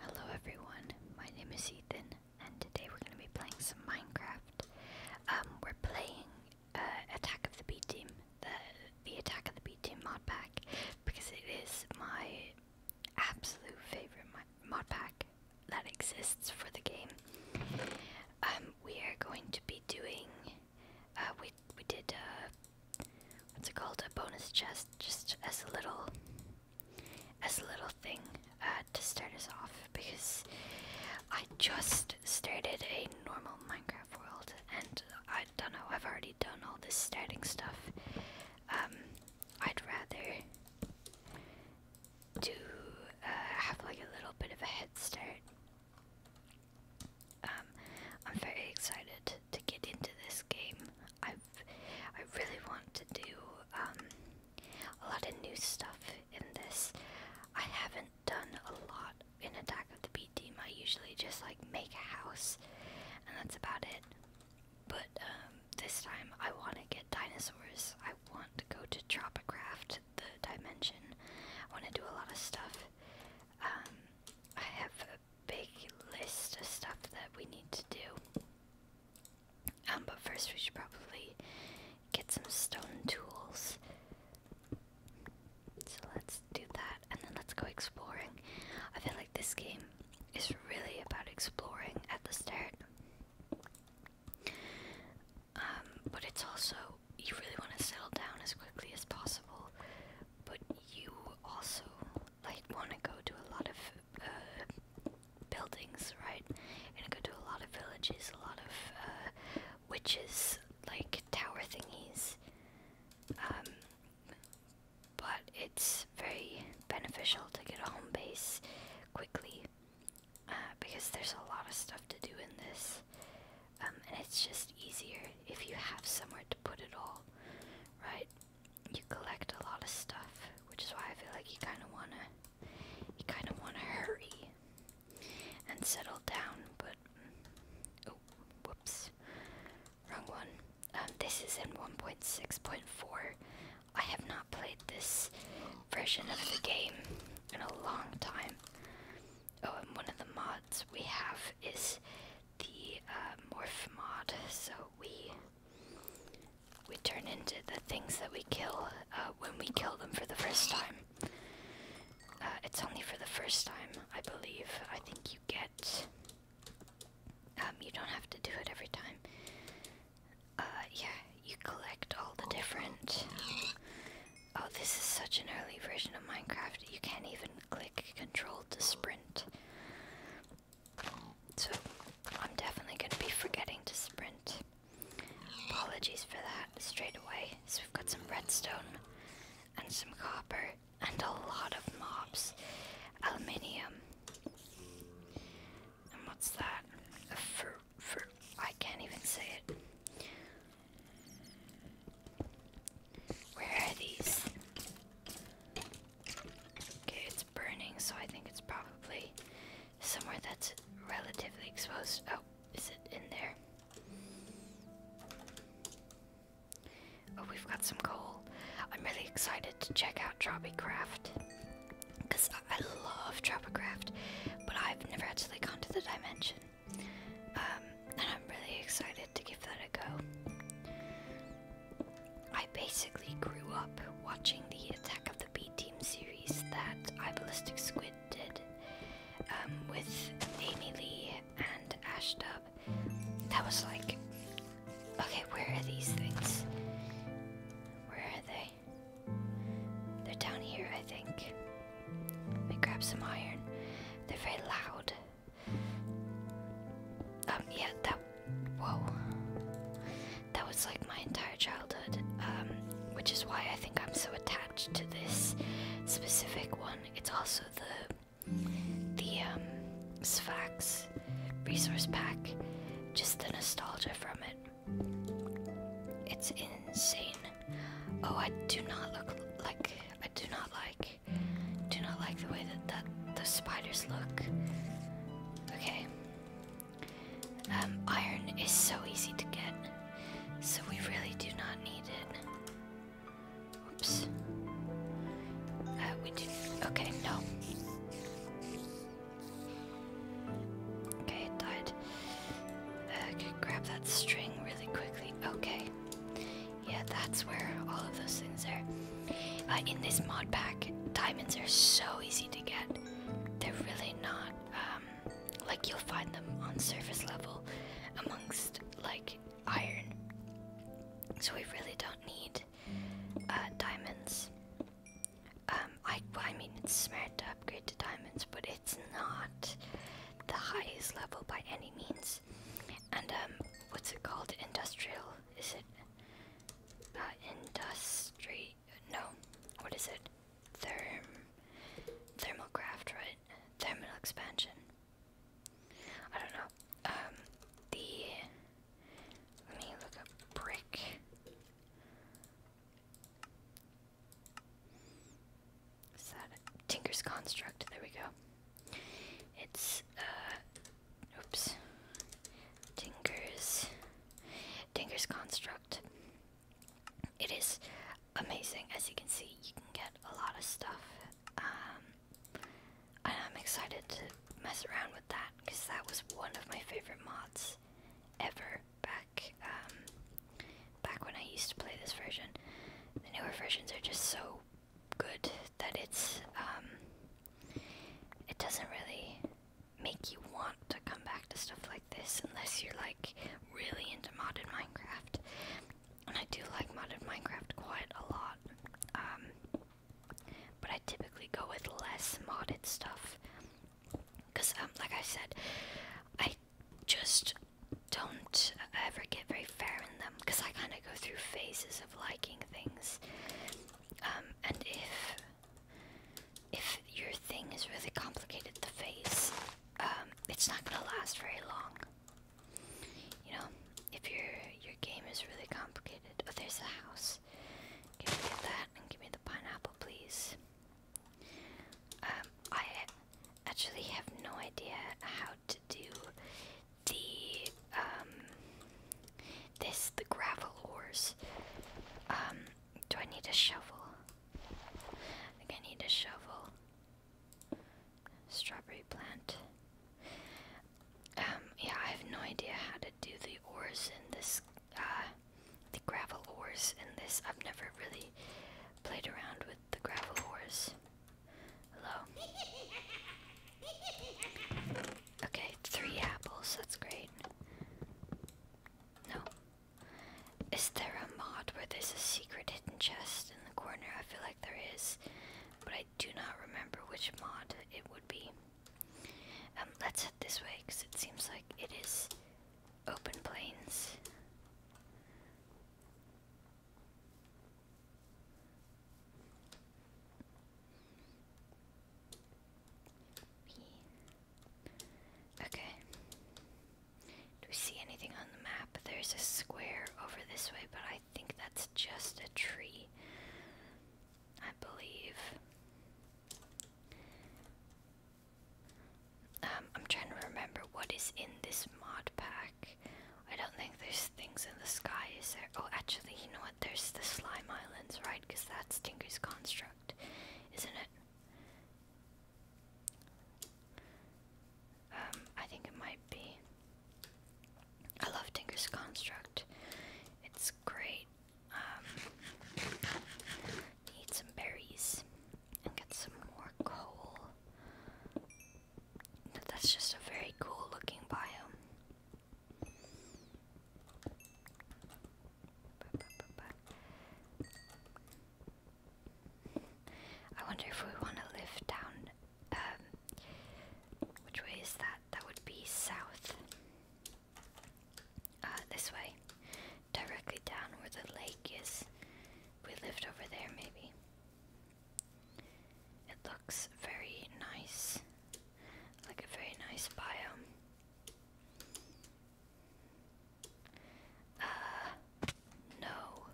Hello everyone, my name is Ethan, and today we're going to be playing some Minecraft. Um, we're playing uh, Attack of the B Team, the, Attack of the B Team mod pack, because it is my absolute favorite mod pack that exists for the game. Um, we are going to be doing, uh, we, we did, uh, what's it called, a bonus chest, just as a little as a little thing uh, to start us off because I just started a normal Minecraft world and I don't know, I've already done all this starting stuff. Um, I'd rather do uh, have like a little bit of a head start. Um, I'm very excited to get into this game i really want to do um, a lot of new stuff in this. I haven't done a lot in Attack of the Bee Team. I usually just like make a house, and that's about it. But um, this time I want to get dinosaurs. I want to go to Tropograph the dimension. I want to do a lot of stuff. Um, I have a big list of stuff that we need to do. Um, but first we should probably get some stone tools. So let's do that and then let's go exploring. I feel like this game is really about exploring at the start. Um, but it's also, you really want to settle down as quickly as possible, but you also like want to go to a lot of uh, buildings, right? And I go to a lot of villages, a lot of uh, witches, like tower thingies. Um, but it's very beneficial to get a home base quickly uh, because there's a lot of stuff to do in this. Um, and it's just easier if you have somewhere to put it all, right? you collect a lot of stuff, which is why I feel like you kind of wanna, you kind of wanna hurry and settle down. But oh, whoops, wrong one. Um, this is in 1.6.4. I have not played this version of the game in a long time. Oh, and one of the mods we have is the uh, morph mod, so we we turn into the things that we kill uh, when we kill them for the first time. Uh, it's only for the first time, I believe. I think you get. Um, you don't have to do it every time. Uh, yeah, you collect all the different. Oh, this is such an early version of Minecraft. You can't even click control to sprint. So I'm definitely going to be forgetting to sprint. Apologies for that straight away. So we've got some redstone and some copper and a lot of mobs. Aluminium. And what's that? A fruit. I can't even say it. Where are these? Okay, it's burning, so I think it's probably somewhere that's relatively exposed. Oh, is it in there? Oh, we've got some coal. I'm really excited to check out Tropicraft. Because I, I love Tropicraft, but I've never actually gone to the dimension. Um, and I'm really excited to give that a go. I basically grew up watching the Attack of the B Team series that iBallistic Squid did um, with Amy Lee and Ash Dub. That was like, okay, where are these things? Where are they? They're down here, I think. Let me grab some iron. They're very loud. Um, yeah, that Whoa. That was like my entire childhood, um, which is why I think I'm so attached to this specific one. It's also the the um, Sfax resource pack, just the nostalgia from it. It's insane. Oh, I do not look like I do not like do not like the way that that the spiders look. Okay, um, iron is so easy to get, so we really do not need it. Oops. Uh, we do. Okay, no. Okay, died. Uh, grab that string really quickly. Okay. Yeah, that's where all of those things are. Uh, in this mod pack, diamonds are so easy to get they're really not um, like you'll find them on surface level amongst like iron. So we really don't need uh, diamonds. Um, I, I mean, it's smart to upgrade to diamonds, but it's not the highest level by any means. And um, what's it called? Industrial? Is it uh, industry? no, what is it? Therm, thermal craft, right? Thermal expansion. I don't know. Um, the let me look up brick. Is that Tinker's construct? There we go. It's uh, oops. Tinker's Dinger's construct. It is amazing, as you can see. You can get a lot of stuff, um, and I'm excited to mess around with that because that was one of my favorite mods ever back um, back when I used to play this version. The newer versions are just so good that it's um, it doesn't really make you want to come back to stuff like this unless you're like really into modded Minecraft. And I do like modded Minecraft quite a lot. Um, but I typically go with less modded stuff. Because, um, like I said, I just don't ever get very fair in them. Because I kind of go through phases of liking things. Um, and if if your thing is really complicated to face, um, it's not gonna last very long. You know, if your your game is really complicated. Oh, there's a house. Give me that and give me the pineapple, please. Um, I actually have no idea how to do the um, this the gravel ores. Do I need a shovel? I need a shovel. Strawberry plant. Um, yeah, I have no idea how to do the ores in this, uh, the gravel ores in this. I've never really played around with the gravel ores. Hello? Okay, three apples, that's great. No. Is there a mod where there's a secret hidden chest in the corner? I feel like there is, but I do not remember which mod it would be. Um, let's head this way because it seems like it is open plains. Okay. Do we see anything on the map? There's a square over this way, but I think that's just a tree. I believe. Um, I'm trying to remember what is in this mod pack. I don't think there's things in the sky, is there? Oh, actually, you know what? There's the slime islands, right? Because that's Tinker's construct, isn't it? Um, I think it might be. I love Tinker's Construct. It's great. Um, eat some berries and get some more coal. That's just a very cool looking biome. I wonder if we want to live down. Um, which way is that? That would be south. Uh, this way. Directly down where the lake is. We lived over there, maybe. It looks very nice. Like a very nice biome. Uh, no.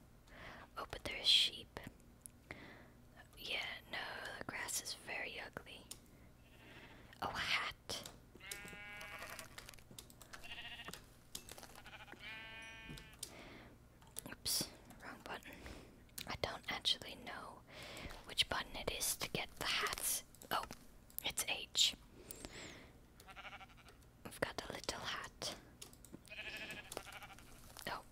Oh, but there's sheep. Yeah, no, the grass is very ugly. Oh, hat. Oops, wrong button. I don't actually know which button it is to get the hats. Oh, it's H. I've got a little hat. Oh.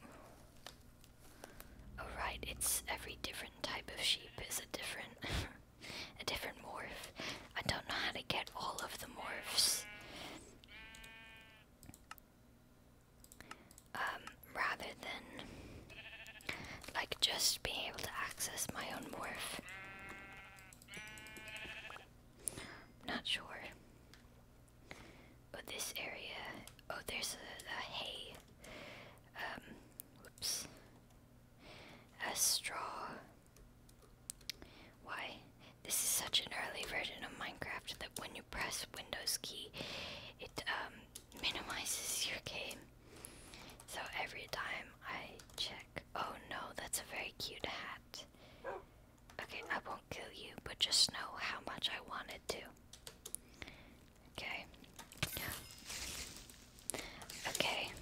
Oh it's every different type of sheep is a different a different morph. I don't know how to get all of the morphs. Um, rather than like just being able to access my own morph not sure. Oh, this area. Oh, there's a, hay. Um, whoops. A straw. Why? This is such an early version of Minecraft that when you press Windows key, it um, minimizes your game. So every time I check. Oh no, that's a very cute hat. Okay, I won't kill you, but just know how much I wanted to. Okay. Okay.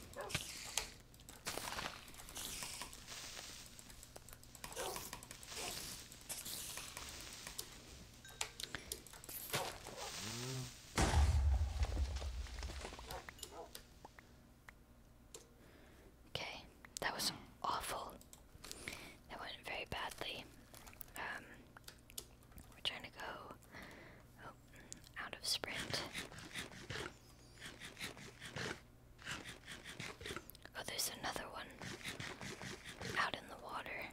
Okay, that was awful. That went very badly. Um, we're trying to go oh, out of sprint. Oh, there's another one out in the water.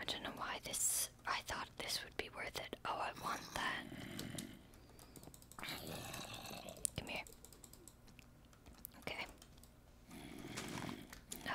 I don't know why this. I thought this would be worth it. Oh, I want that. Come here. Okay. No.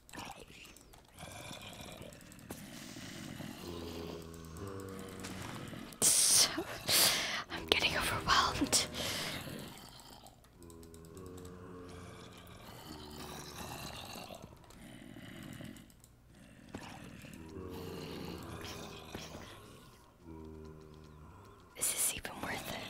So, I'm getting overwhelmed. Is this even worth it?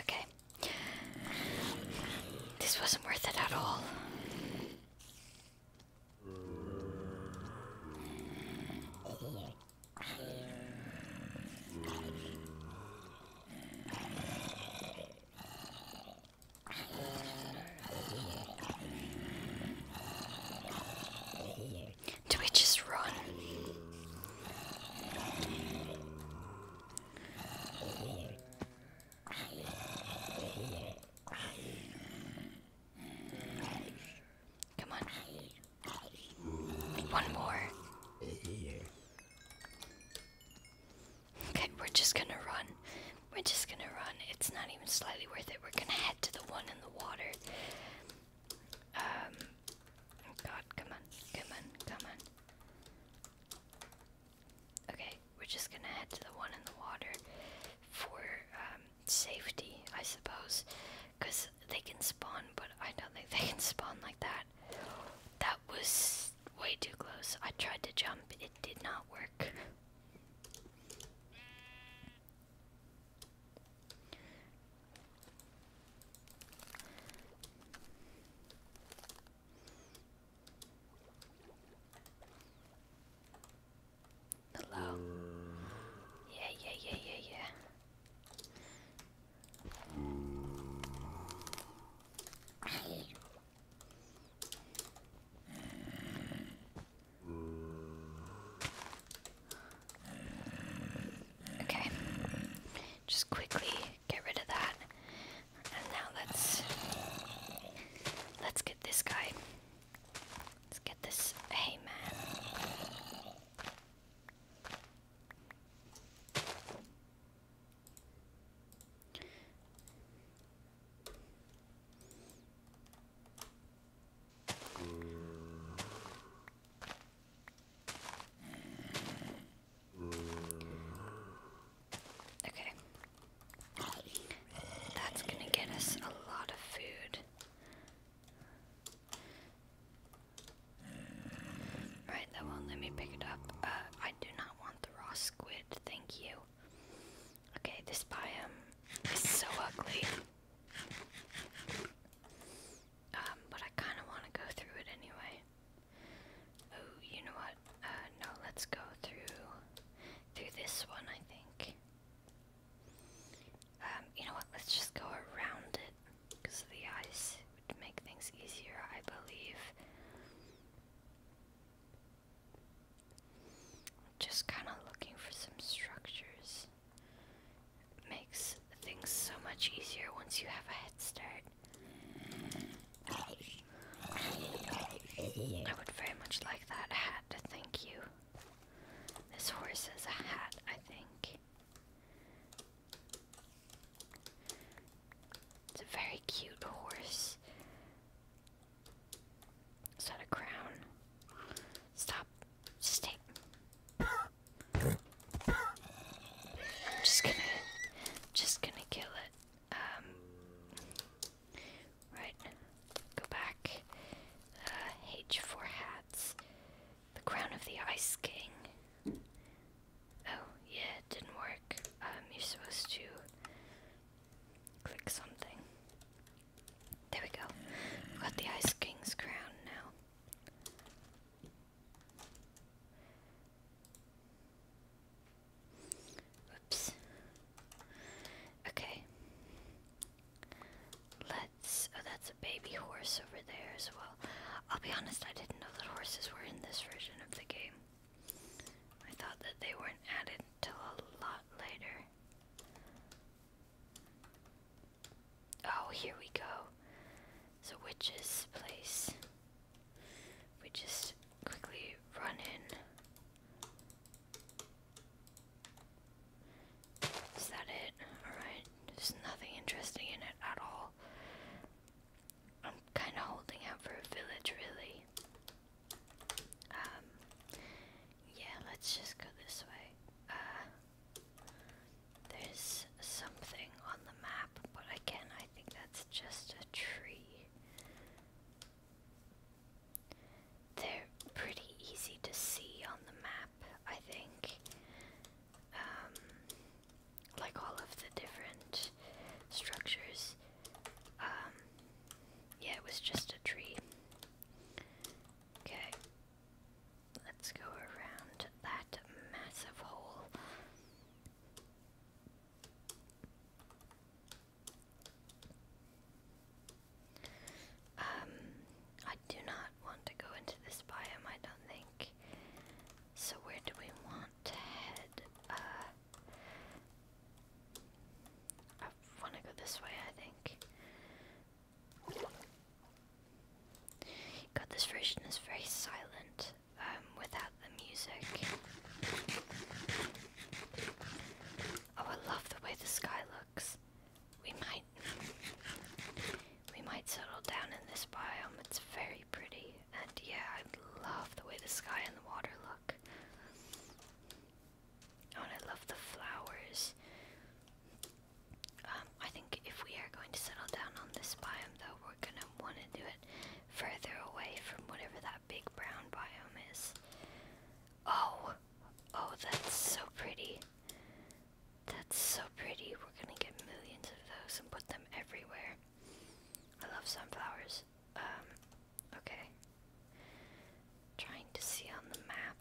Okay. This wasn't worth it at all. Do we just run? Come on. One more. Okay, we're just gonna run. We're just gonna run. It's not even slightly worth it. We're gonna head to the one in the water. Um, oh god, come on, come on, come on. Okay, we're just gonna head to the one in the water for um, safety, I suppose. Because they can spawn, but I don't think they can spawn like that. That was way too close. I tried to jump, it did not work. Hello. Yeah, yeah, yeah, yeah, yeah. Okay just quickly get rid of that. And now let's let's get this guy. Let's get this hey man. Okay. That's gonna get us a lot of food. Right, that will let me pick it up. Uh, I do not want the raw squid, thank you. Okay, this biome is so ugly. Um, but I kind of want to go through it anyway. Oh, you know what? Uh, no, let's go through through this one, I think. Um, you know what? Let's just go around it because the ice would make things easier, I believe. Just kind of looking for some structures makes things so much easier once you have a head start. I would very much like that hat, thank you. This horse has a hat, I think. It's a very cute horse. Is that a crown? Stop. Stay. I'm just gonna, just gonna kill it. Um, right, go back. H4 uh, hats. The crown of the Ice King. Oh, yeah, didn't work. Um, you're supposed to click something. There we go. got the Ice King's crown now. Oops. Okay. Let's. Oh, that's a baby horse over there as well. I'll be honest, I didn't know that horses were in this version of the game. I thought that they weren't added until a lot later. Oh, here we go. So, witch's place we just quickly run in. Is that it? Alright, there's nothing interesting in it at all. I'm kind of holding out for a village, really. Um, yeah, let's just go this way. Uh, there's something on the map, but again, I think that's just a tree. They're pretty easy to see on the map, I think. Um, like all of the different structures. Um, yeah, it was just a tree. Okay, let's go around that massive hole. Um, I do not want to go into this biome, I don't think. So where do we want to head? Uh, I want to go this way, I think. God, this version is very silent. Um, without the music. Oh, I love the way the sky looks. We might, we might settle down in this biome. It's very pretty, and yeah, I love the way the sky and the water look. Oh, and I love the flowers. Um, I think if we are going to settle down on this biome, though, we're gonna want to do it further away from whatever that big brown biome is. Oh, oh, that's so pretty. That's so pretty. We're gonna get millions of those and put them everywhere. I love sunflowers. Um, okay. Trying to see on the map.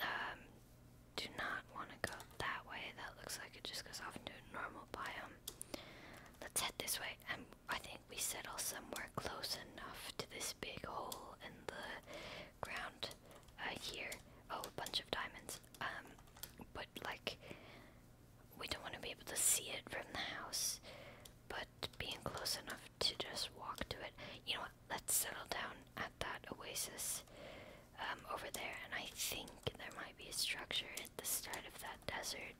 Um, do not want to go that way. That looks like it just goes off into a normal biome. Let's head this way, and um, I think we settle somewhere close enough to this big hole in the ground uh, here. Oh, a bunch of diamonds. Um, but like, we don't want to be able to see it from the house, but being close enough to just walk to it. You know what? Let's settle down at that oasis um, over there, and I think there might be a structure at the start of that desert.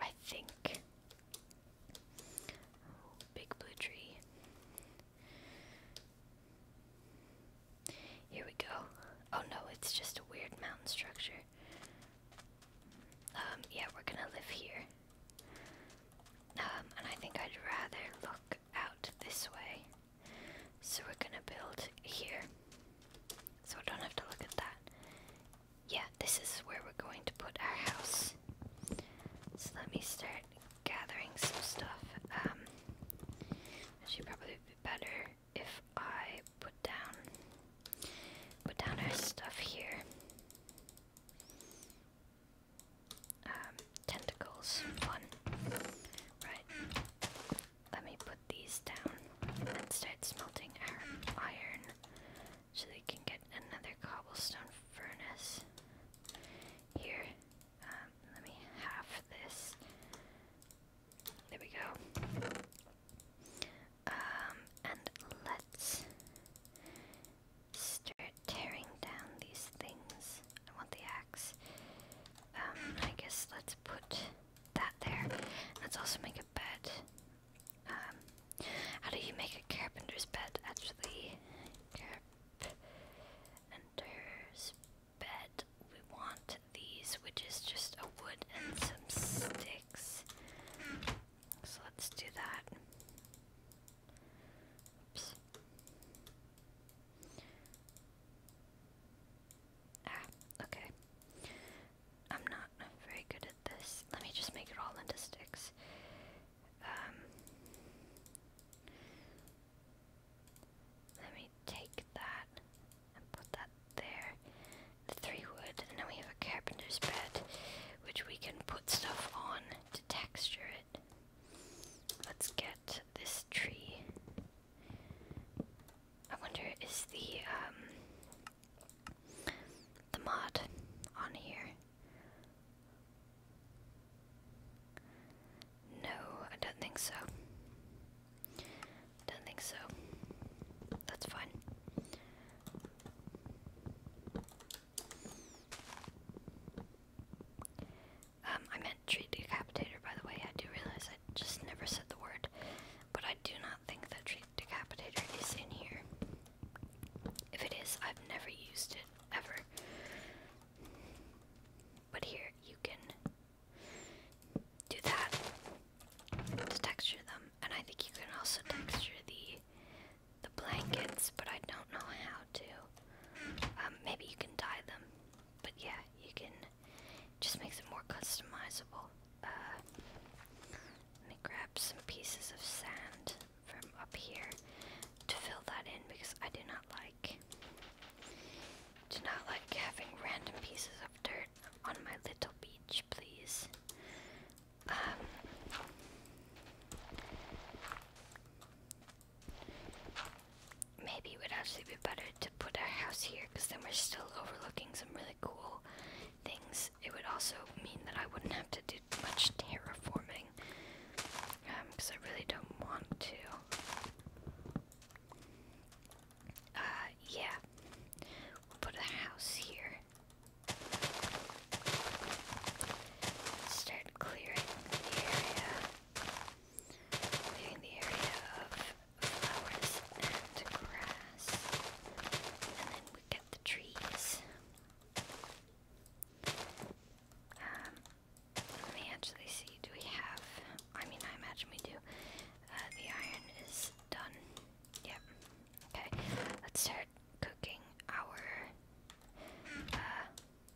I think. big blue tree. Here we go. Oh no, it's just a weird mountain structure. Um, yeah, we're gonna live here. Um, and I think I'd rather look out this way. So we're gonna build here. So I don't have to look at that. Yeah, this is where we're going to put our house. So let me start gathering some stuff. Um, it should probably be better if I put down put down our stuff here. Um, tentacles, one. Right. Let me put these down and start smelting our iron so they can get another cobblestone furnace. Here, um, let me have this. There we go. Um, and let's start tearing down these things. I want the axe. Um, I guess let's put that there. Let's also make a bed. Um, how do you make a carpenter's bed? Actually, carpenter's bed. We want these, which is just a wood and some sticks. So let's do that. Ah, okay. I'm not very good at this. Let me just make it all into sticks. Um, let me take that and put that there. The three wood, and then we have a carpenter's bed, which we can put stuff on to texture it. Let's get this tree. I wonder is the um, the mod on here? No, I don't think so. Don't think so. That's fine. Um, I meant decapitator, by the way. I do realize I just never said the word, but I do not think that tree decapitator is in here. If it is, I've never used it ever. But here you can do that to texture them, and I think you can also texture the the blankets, but I don't know how to. Um, maybe you can dye them, but yeah, you can just makes it more customizable. Uh, let me grab some pieces of sand from up here to fill that in because I do not like do not like having random pieces of dirt on my little beach, please. Um, Maybe it would actually be better to put our house here because then we're still overlooking some really cool things. It would also mean that I wouldn't have to do much terraforming because um, I really don't want to. Uh, yeah. put a house here. start clearing the area. Clearing the area of flowers and grass. And then we get the trees. Um, let me actually see. Do we have. I mean, I imagine we do. Uh, the iron is done. Yep. Okay. Let's start cooking our uh,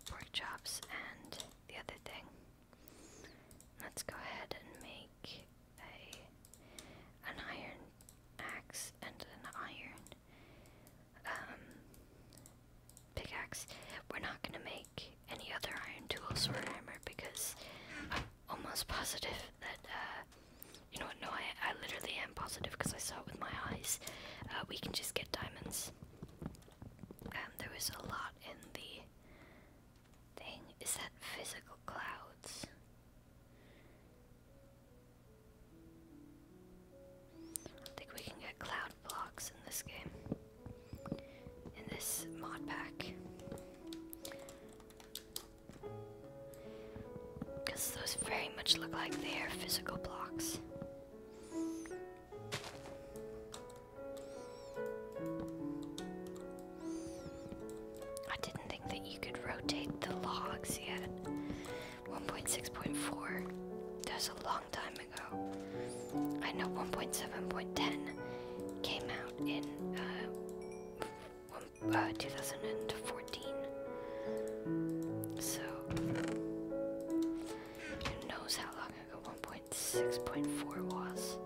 pork chops and the other thing. Let's go ahead and make a an iron axe and an iron um, pickaxe. We're not gonna make any other iron tools or armor because I'm almost positive that uh, you know what? No, I I literally am positive because I saw it with my eyes. Uh, we can just get diamonds. Um, there was a lot in the thing is that physical clouds I think we can get cloud blocks in this game. In this mod pack. Because those very much look like they are physical blocks. I didn't think that you could rotate the logs yet. 1.6.4. That was a long time ago. I know 1.7.10 came out in uh, uh, 2014. So, who knows how long ago 1.6.4 was?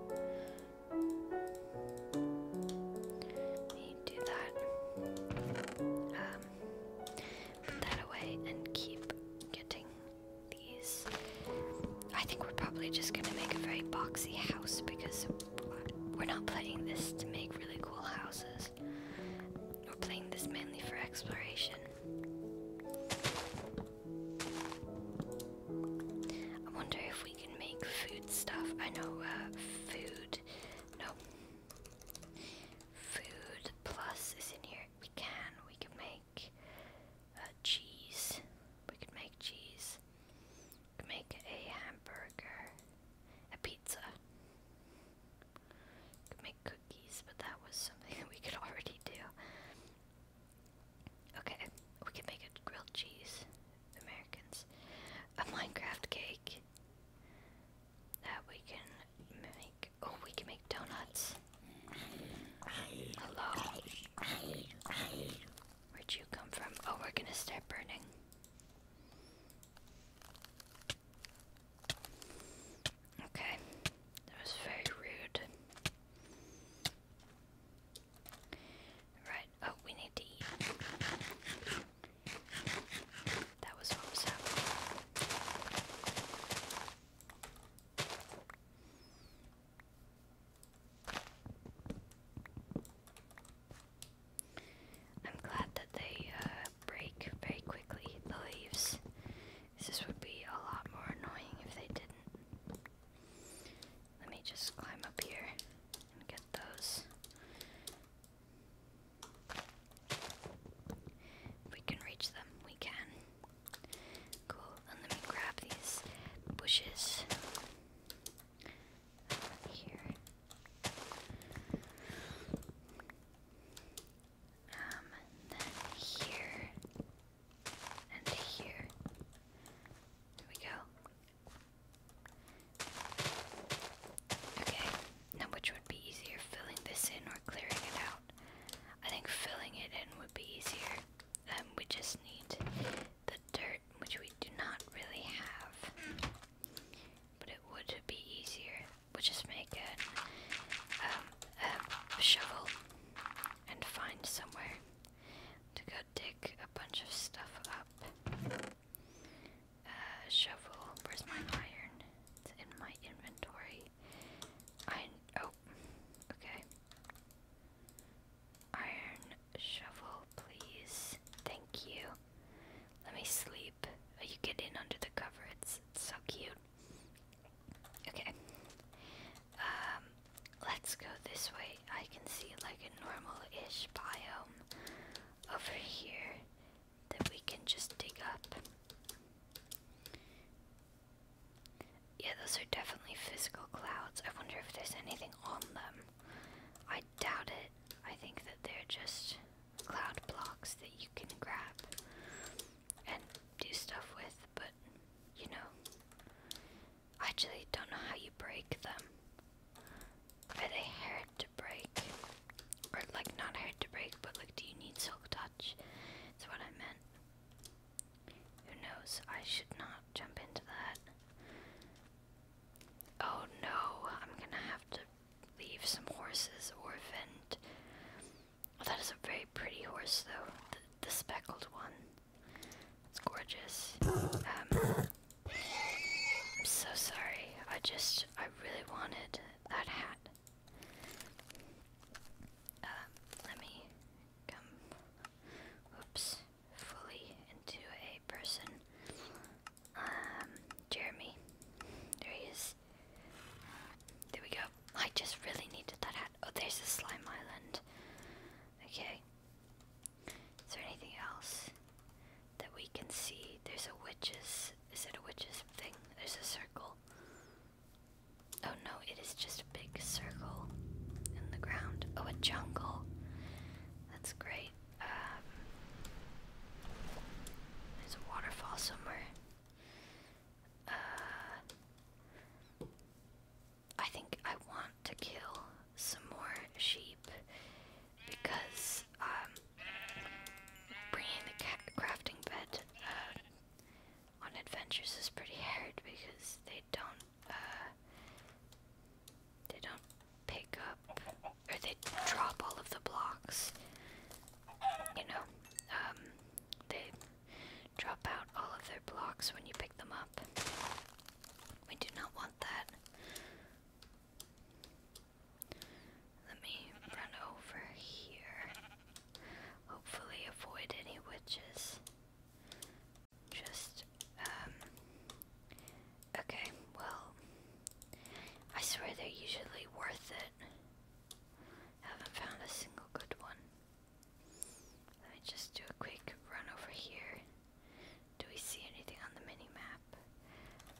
We do that. Um, put that away and keep getting these. I think we're probably just gonna make a very boxy house because we're not playing this to make really cool houses. We're playing this mainly for exploration. I wonder if we can make food stuff. I know, uh, food. No. Food plus is in here. We can. We can make uh, cheese. We can make cheese. We can make a hamburger. A pizza. make cookies, but that was something that we could already do. Okay, we can make a grilled cheese. Americans. A Minecraft cake. That we can make. Oh, we can make donuts. Hello. Where'd you come from? Oh, we're gonna start burning. Okay. That was very rude. Right, Oh, we need to eat. That was what was happening. I'm glad that they uh, break very quickly, the leaves. This would be a lot more annoying if they didn't. Let me just climb up here and get those. If we can reach them, we can. Cool, and let me grab these bushes here. Um, then here and here. There we go. Okay, now which would be easier, filling this in or clearing it out? I think filling it in would be easier. Um, we just need the dirt, which we do not really have. But it would be easier. we just make an, um, a shovel and find somewhere to go dig a bunch of stuff up. Uh, shovel. Where's my iron? It's in my inventory. Iron. Oh, okay. Iron shovel, please. Thank you. Let me sleep. Oh, you get in under the cover. It's, so cute. Okay. Um, let's go this way I can see like a normal-ish biome over here that we can just dig up. Yeah, those are definitely physical clouds. I wonder if there's anything on them. I doubt it. I think that they're just cloud blocks that you can grab and do stuff with, but you know, I actually don't know how you break them. Are they hard to break? Or like not hard to break, but like do you need silk touch? That's what I meant. Who knows? I should not jump into that. Oh no, I'm gonna have to leave some horses orphaned. that is a very pretty horse though, the speckled one. It's gorgeous. Um, I'm so sorry. I just, I really wanted that hat. Um, let me come, oops, fully into a person. Um, Jeremy. There he is. There we go. I just really needed that hat. Oh, there's a slime island. Okay. Is there anything else that we can see? There's a witch's. Is it a witch's thing? There's a circle. Oh no, it is just a big circle in the ground. Oh, a jungle. That's great. Um, there's a waterfall somewhere. Uh, I think I want to kill some more sheep because um, bringing the crafting bed uh, on adventures is pretty hard because they don't uh, they don't pick up or they drop all of the blocks. You know, um, they drop out all of their blocks when you pick them up. We do not want that. Let me run over here. Hopefully, avoid any witches. Just, um. Okay, well. I swear they're usually worth it. Haven't found a single good one. Let me just do a quick run over here. Do we see anything on the mini-map?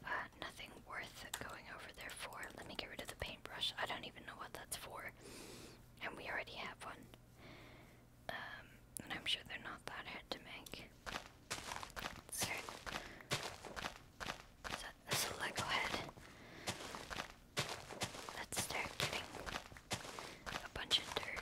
Uh, nothing worth going over there for. Let me get rid of the paintbrush. I don't even know what that's for. And we already have one. Um, and I'm sure they're not that hard to make. So, so, so let go ahead. Let's start getting a bunch of dirt.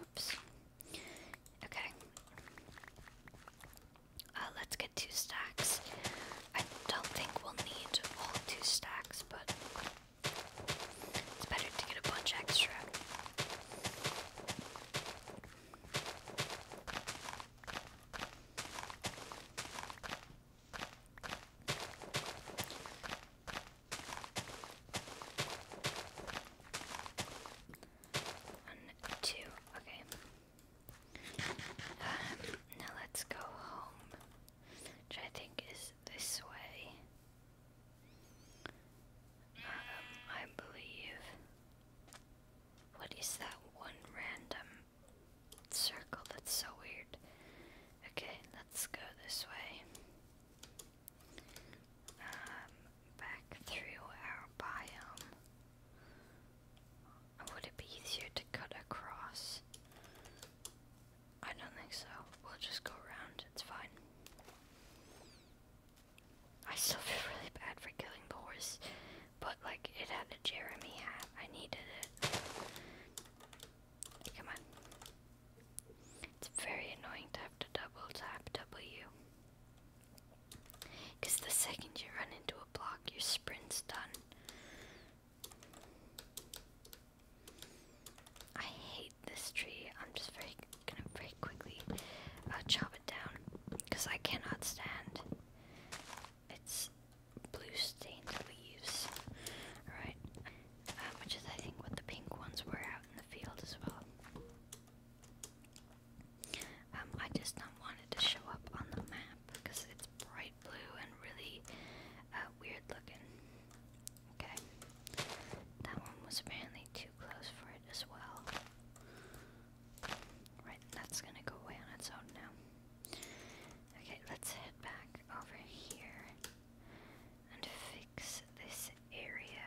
Oops. Okay. Uh, let's get two stacks. I don't think we'll need all two stacks, but it's better to get a bunch extra. One, two, okay. Um, now let's go home, which I think is this way. Um, I believe. What is that one random circle that's so weird? Okay, let's go this way. Um, back through our biome. Would it be easier to cut across? I don't think so. We'll just go around, it's fine. I still feel really bad for killing the horse, but like it had a Jeremy hat. I needed it. Come on. It's very annoying to have to double tap W. Because the second you run into a block, your sprint's done. I hate this tree. I'm just very gonna very quickly uh, chop it down because I cannot stand its blue stained leaves. All right. Um, which is I think what the pink ones were out in the field as well. Um, I just not wanted to show up on the map because it's bright blue and really uh, weird looking. Okay, that one was apparently too close for it as well. Right, that's gonna go away on its own now. Okay, let's head back over here and fix this area.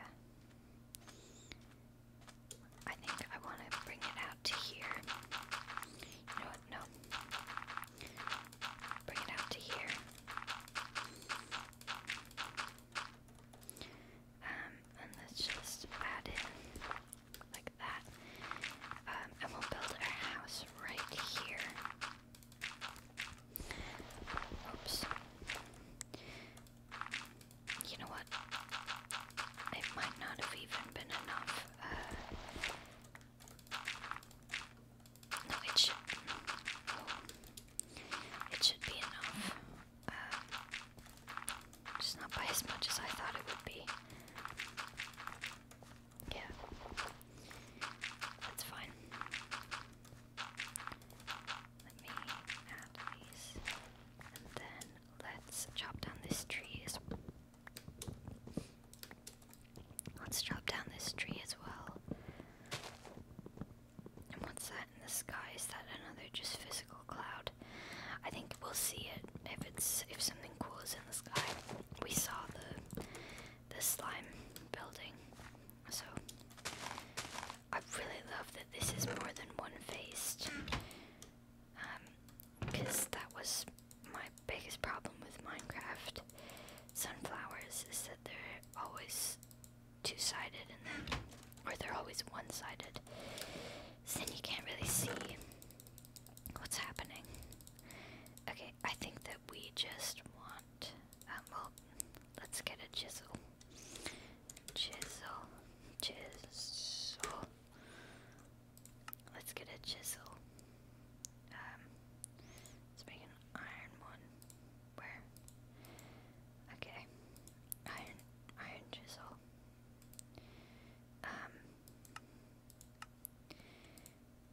I think I want to bring it out to here. You No. Bring it out to here. Um, and let's just add in like that. Um, and we'll build our house right here. Oops. You know what? It might not have even been enough. Uh, oh, it should. be enough. Uh, just not by as much as I thought it would be. Yeah. That's fine. Let me add these. And then let's chop down this tree as well. Let's chop down this tree as well. And what's that in the sky? Is that another just physical cloud? I think we'll see it if it's if something cool is in the sky. We saw the the slime building. So I really love that this is more than one faced. because um, that was my biggest problem with Minecraft sunflowers is that they're always two sided and then or they're always one sided. So then you can't really see what's happening. Okay, I think that we just want um, well, let's get a chisel. Chisel. Chisel. Let's get a chisel. Um, let's make an iron one. Where? Okay. Iron, iron chisel. Um.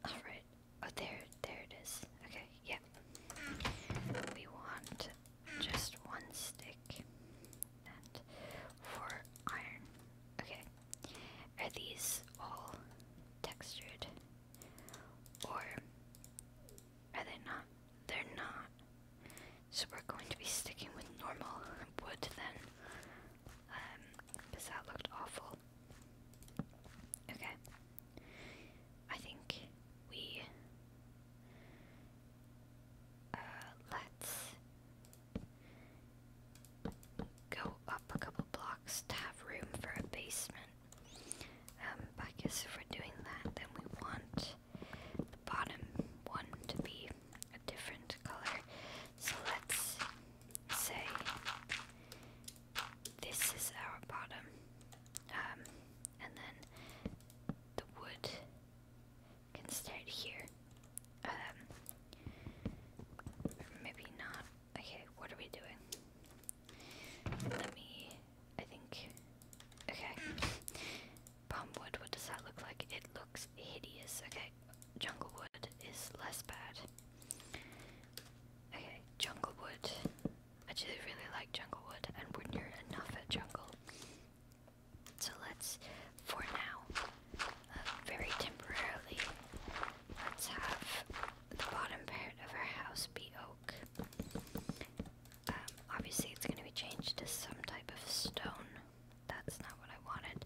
Alright, Oh, there, there it is. Okay, yep. We want just one stick and four iron. Okay. Are these all textured? Or are they not? They're not. So we're going to be sticking with normal wood then. because um, that looked awful. Okay. I think we uh, let's go up a couple blocks to have room for a basement. Um I guess if we're doing that then we want the bottom one to be a different color. So let's say this is our bottom um, and then the wood can start here. Um, maybe not. Okay, what are we doing? Let me. I think. Okay. Palm wood, what does that look like? It looks hideous. Okay, jungle wood is less bad. Okay, jungle wood. I just really like Junglewood, and when you are enough at Jungle. So let's, for now, uh, very temporarily, let's have the bottom part of our house be oak. Um, obviously, it's going to be changed to some type of stone. That's not what I wanted.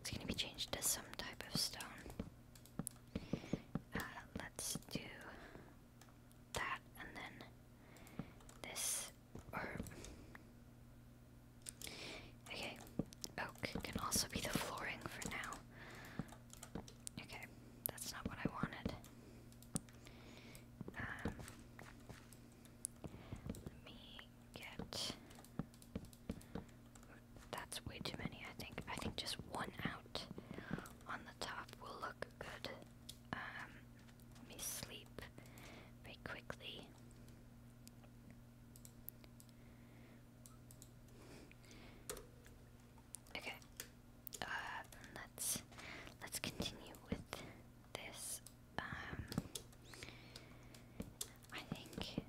It's going to be changed to some type of stone. Uh, let's do that and then this or okay oak can also be the flooring for now okay that's not what I wanted um, let me get that's way too many I think I think just one out on the top will look good. Um, let me sleep very quickly. Okay. Uh, let's let's continue with this. Um, I think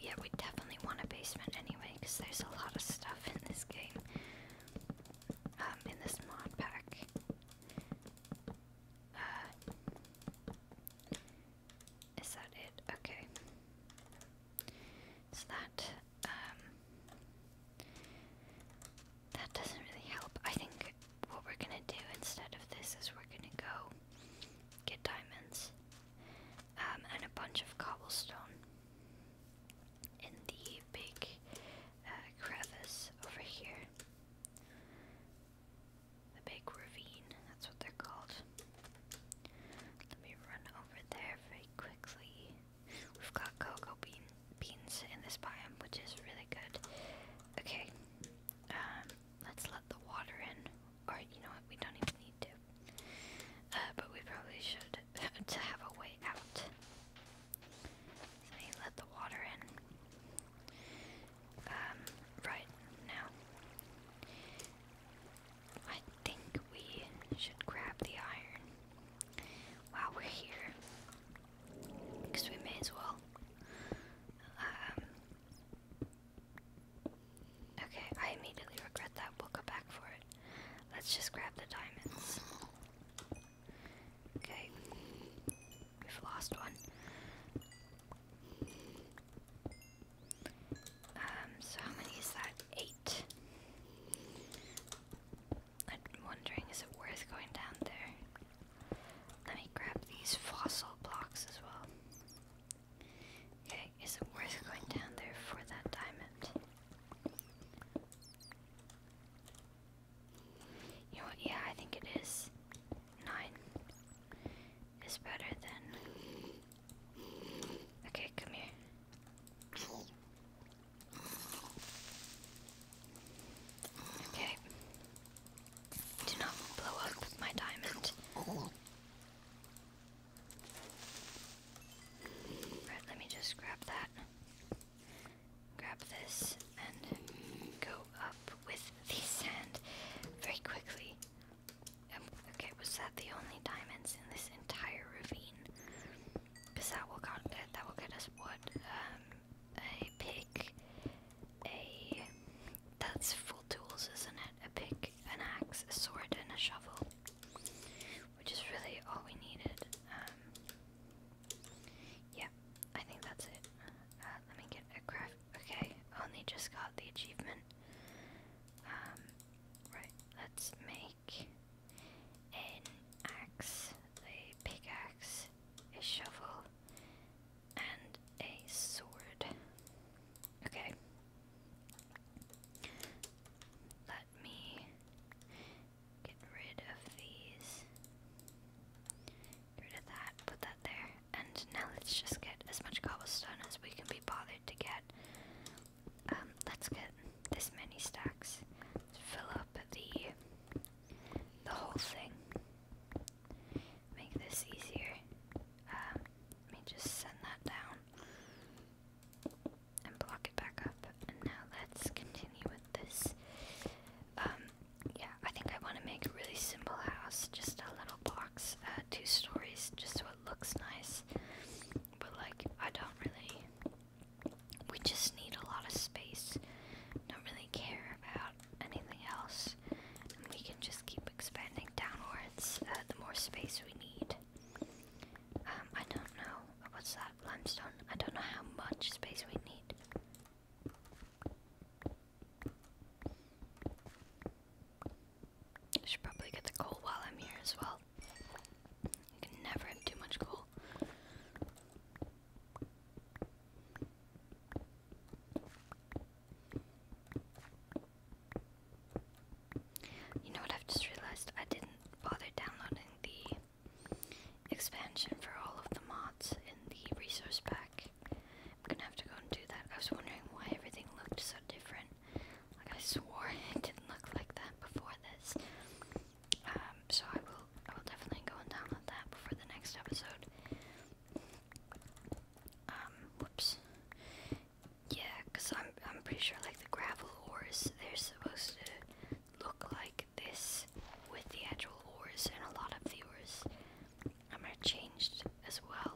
yeah, we definitely want a basement anyway because there's a lot of stuff in this game. Um, in this mod pack. Uh, is that it? Okay. So that, um, that doesn't really help. I think what we're gonna do instead of this is we're gonna go get diamonds um, and a bunch of cobblestone in the big uh, crevice over here. The big ravine, that's what they're called. Let me run over there very quickly. We've got cocoa bean beans in this biome, which is really good. Okay, um, let's let the water in. Or, you know what, we don't even need to. Uh, but we probably should to have a way out let the water in. Um, right now. I think we should grab the iron while we're here. Because we may as well. Um, okay, I immediately regret that. We'll go back for it. Let's just grab the diamonds. Okay, we've lost one. Um, so how many is that? Eight. I'm wondering, is it worth going down there? Let me grab these fossil blocks as well. Okay, is it worth going down there for that diamond? Yeah, I think it is. Nine is better than. Okay, come here. Okay. Do not blow up my diamond. Right, let me just grab that grab this and go up with the sand very quickly. Um, okay, was that the only diamonds in this entire ravine? Because that will got uh, that will get us wood, um, a pick, a that's full tools, isn't it? A pick, an axe, a sword, and a shovel, which is really all we needed. Um, yeah, I think that's it. Uh, let me get a craft. Okay, only just got the achievement. Um, right, let's make an axe, a pickaxe, a shovel, and a sword. Okay me get rid of these. Get rid of that, put that there. And now let's just get as much cobblestone as we can be bothered to get. Um, let's get this many stacks. let fill up the the whole thing. Make this easier. Um, let me just send that down and block it back up. And now let's continue with this. Um, yeah, I think I want to make a really simple house, just a little box, uh, two stories, just so it looks nice. But like, I don't really. We just need a lot of space. Don't really care about anything else. And we can just keep expanding downwards. Uh, the more space we need. Um, I don't know. What's that? limestone. I don't know how much space we need. I should probably get the coal while I'm here as well. You can never have too much coal. You know what I've just realized? I didn't bother downloading the expansion for all of the mods in the resource pack. I'm gonna have to go and do that. I was wondering why everything looked so different. Like I swore it didn't look like that before this. Um, so I will I will definitely go and download that before the next episode. Um, whoops. Yeah, because I'm I'm pretty sure like the gravel ores they're supposed to look like this with the actual oars and a lot of the oars um, are changed as well.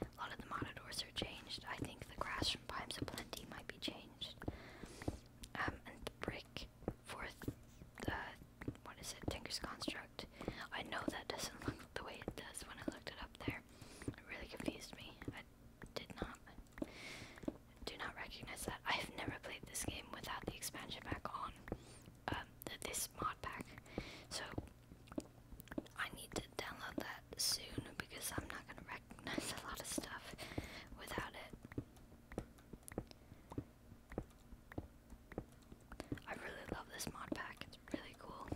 A lot of the monitors are changed. I think the grass from Pimes of Plenty might be changed. Um, and the brick for the, what is it, Tinker's Construct. I know that doesn't look the way it does when I looked it up there. It really confused me. I did not do not recognize that. I've never played this game without the expansion pack on um, this mod pack, so I need to download that soon because I'm not gonna recognize a lot of stuff without it. I really love this mod pack. It's really cool.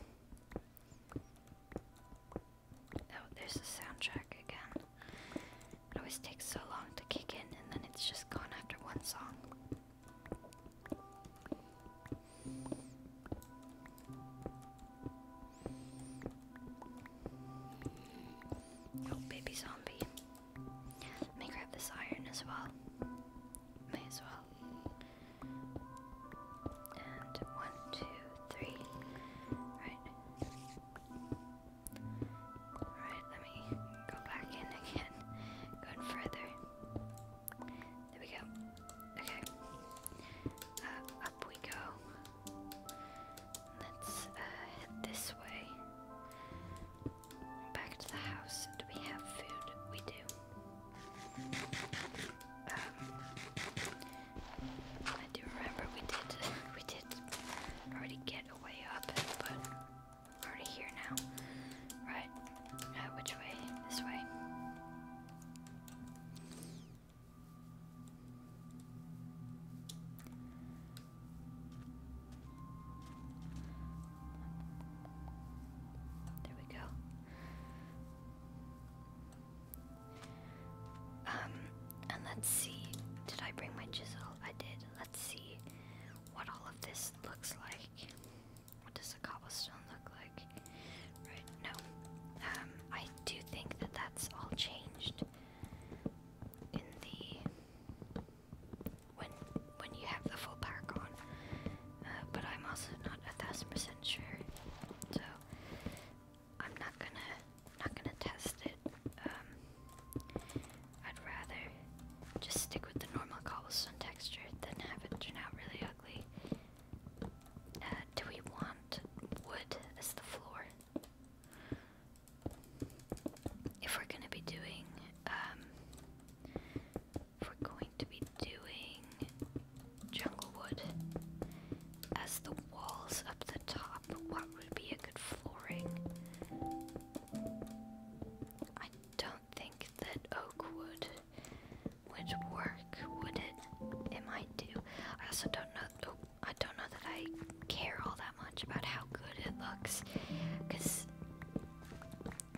Oh, there's a soundtrack. It always takes so long to kick in, and then it's just gone after one song. Oh, baby zombie. Let grab this iron as well. May as well. one, two, three. Right. Alright, let me go back in again. Go further. There we go. Okay. Uh, up we go. Let's uh, head this way. Back to the house. Do we have food? We do. Um, I do remember we did. we did already get way up, but I'm already here now. Right. Uh, which way? This way. There we go. Um, let's see. Did I bring my chisel? I did. Let's see what all of this looks like. What does a cobblestone look like? Right, no. Um, I do think that that's all changed in the when when you have the full pack on. Uh, but I'm also not a thousand percent sure, so I'm not gonna not gonna test it. Um, I'd rather just stick with the normal cobblestone texture than have it turn out really ugly. Uh, do we want wood as the floor? If we're gonna be doing, um, if we're going to be doing jungle wood as the walls up the top top. What would be a good flooring? I don't think that oak wood would work, would it? It might do. I also don't know. Oh, I don't know that I care all that much about how good it looks, because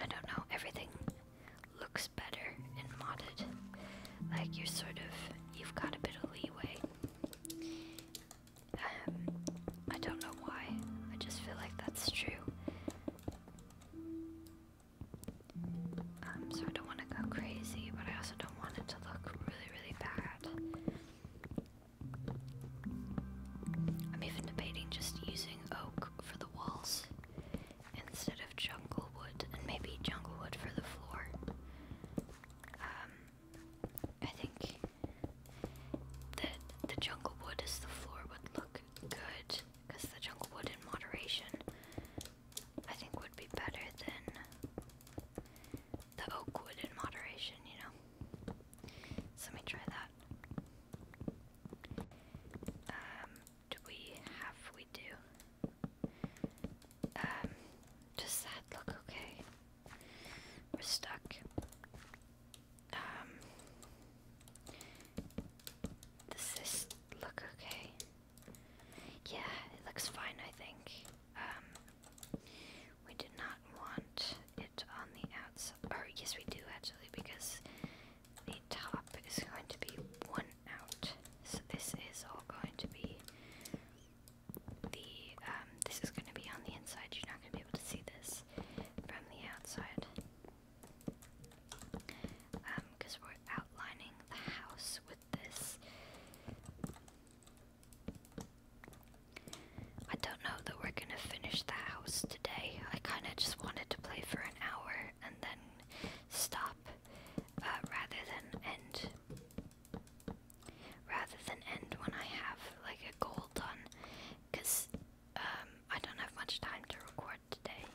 I don't know. Everything looks better in modded. Like you're sort of, you've got a bit of leeway. I don't know why, I just feel like that's true. Um, so I don't want to go crazy, but I also don't want it to look really, really bad. I'm even debating just using oak for the walls instead of jungle wood, and maybe jungle wood for the floor. Um, I think that the jungle wood is the floor would look good because the jungle wood in moderation I think would be better than the oak wood in moderation, you know. So let me try that. Um, do we have we do? Um, does that look okay? We're stuck. Um, does this look okay? Yeah, it looks fine, I think. Um, we did not want it on the outs. Or, yes, we do actually, because the top is going to be one out. So, this is all going to be the, um, this is going to be on the inside. You're not going to be able to see this from the outside. because um, we're outlining the house with this. I don't know that we're gonna finish the house today. I kinda just wanted to play for an hour and then stop uh, rather than end. Rather than end when I have like a goal done. Because um, I don't have much time to record today,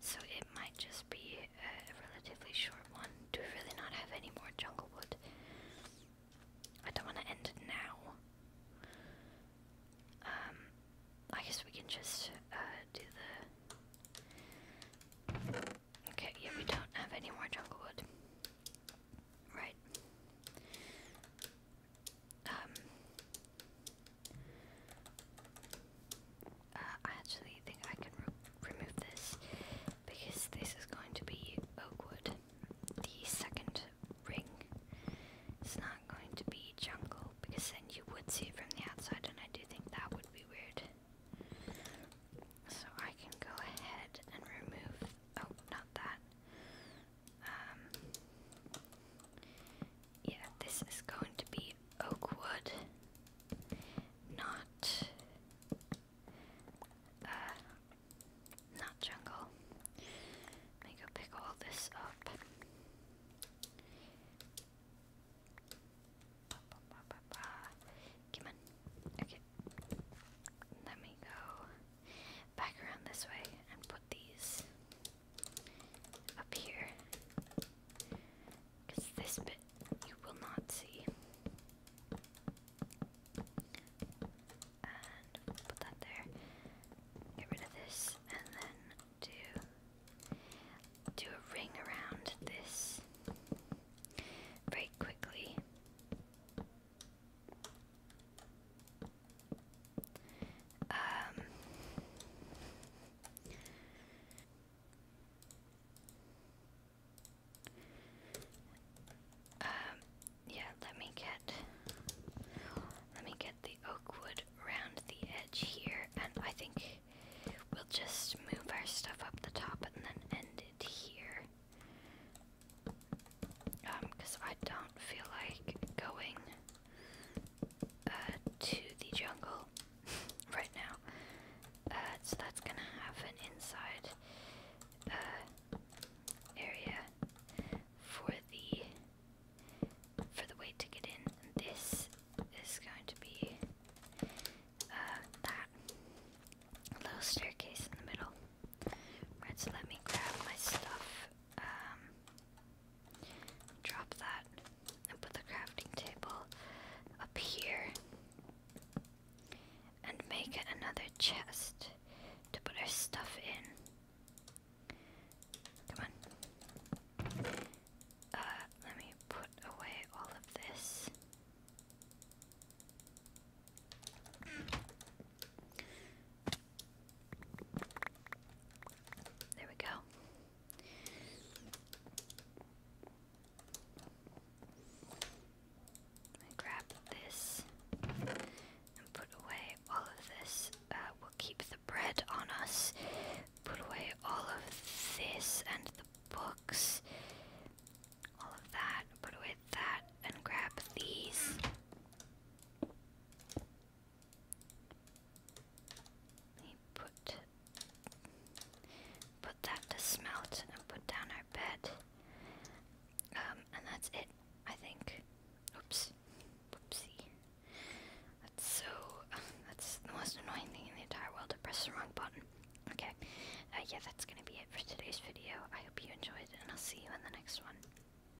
so it might just be a relatively short one. Do we really not have any more jungle wood? I don't want to end it now. Um, I guess we can just uh, do the. Okay, yeah, we don't have any more jungle Right. Um, uh, I actually think I can remove this because this is going to be oakwood, the second ring. is not going to be jungle because then you would see it from the outside, and I do think that would be weird. So I can go ahead and remove. Oh, not that. Um, yeah, this is going to be oakwood, not uh, not jungle. Let me go pick all this up. Come on. Okay. Let me go back around this way and put these up here. Because this bit you will not see. And put that there. Get rid of this and then do do a ring around this very quickly. Um, um, yeah, let me get let me get the oak around the edge here, and I think we'll just move our stuff up the top and then end it here. Um, because I don't feel like going uh, to the jungle right now. Uh, so that's gonna have an inside uh, area for the for the way to get in. And this is going to be uh, that little staircase in the middle. Right, so let me grab my stuff um, drop that and put the crafting table up here and make it another chest to put our stuff in. Come on. Uh, let me put away all of this. There we go. I grab this and put away all of this. Uh, we'll keep the bread on us. Put away all of this and the books. All of that. Put away that and grab these. Let put put that to smelt and put down our bed. Um, and that's it, I think. Oops. Whoopsie. That's so that's the most annoying thing in the entire world to press the wrong button. Okay. Uh, yeah, that's gonna be it for today's video. I hope you enjoyed, and I'll see you in the next one.